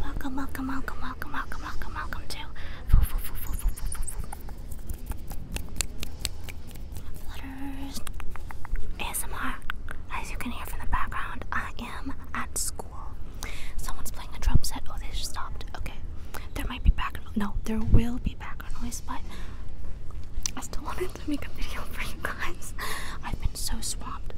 Welcome, welcome, welcome, welcome, welcome, welcome, welcome to Flutters ASMR. As you can hear from the background, I am at school. Someone's playing a drum set. Oh, they just stopped. Okay, there might be background. No, there will be background noise, but I still wanted to make a video for you guys. I've been so swamped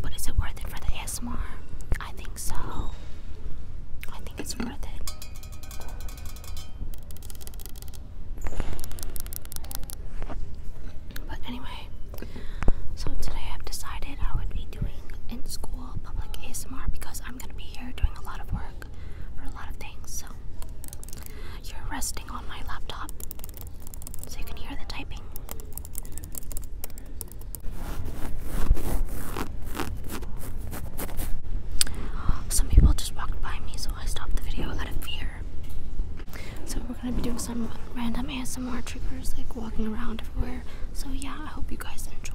But is it worth it for the ASMR? I think so. I think it's worth it. But anyway, so today I've decided I would be doing in school public ASMR because I'm gonna be here doing a lot of work for a lot of things. So you're resting on my laptop so you can hear the typing. Some people just walked by me, so I stopped the video out of fear. So we're gonna be doing some random ASMR triggers, like walking around everywhere. So yeah, I hope you guys enjoy.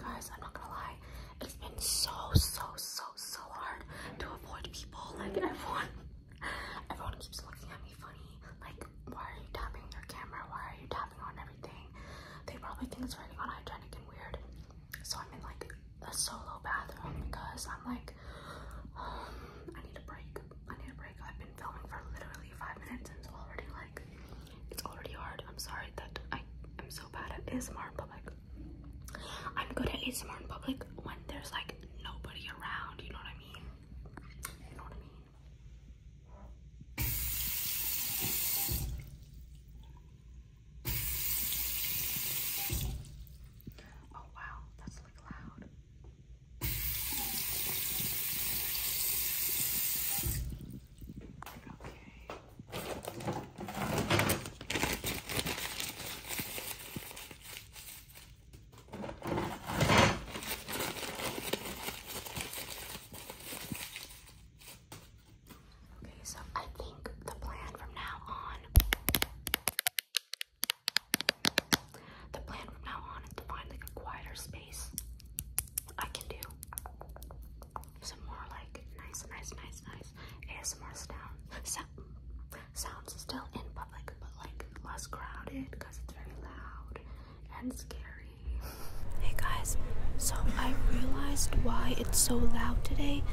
Guys, I'm not gonna lie, it's been so, so, so, so hard to avoid people. Like, everyone, everyone keeps looking at me funny. Like, why are you tapping your camera? Why are you tapping on everything? They probably think it's very unhygienic and weird. So I'm in like a solo bathroom because I'm like, I need a break. I need a break. I've been filming for literally five minutes and it's already like, it's already hard. I'm sorry that I am so bad at ASMR in public. I'm good at ASMR in public when there's like nobody around, you know what I mean? You know what I mean? Oh wow, that's like loud. Okay. Okay, so I think the plan from now on, the plan from now on is to find like a quieter space. I can do some more like nice, nice, nice, nice ASMR sound, sound sounds still in public, but like less crowded because it's very loud and scary. Hey guys, so I realized why it's so loud today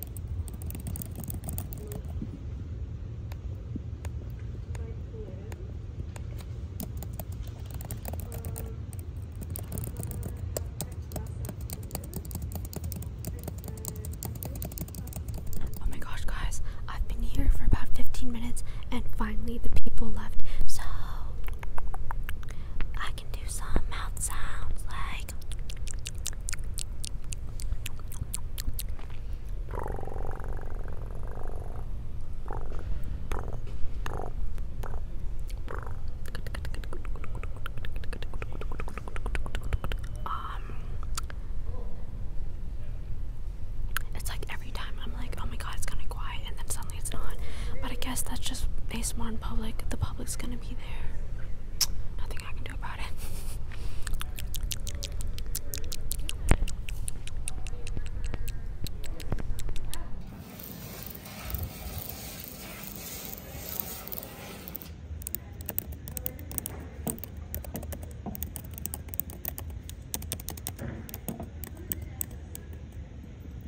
Oh my gosh, guys, I've been here for about 15 minutes and finally the people left. So I can do some mouth like um, it's like every time I'm like, oh my god, it's gonna be quiet, and then suddenly it's not. But I guess that's just ASMR in public. The public's gonna be there. Nothing I can can do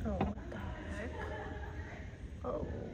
Oh, what the Oh.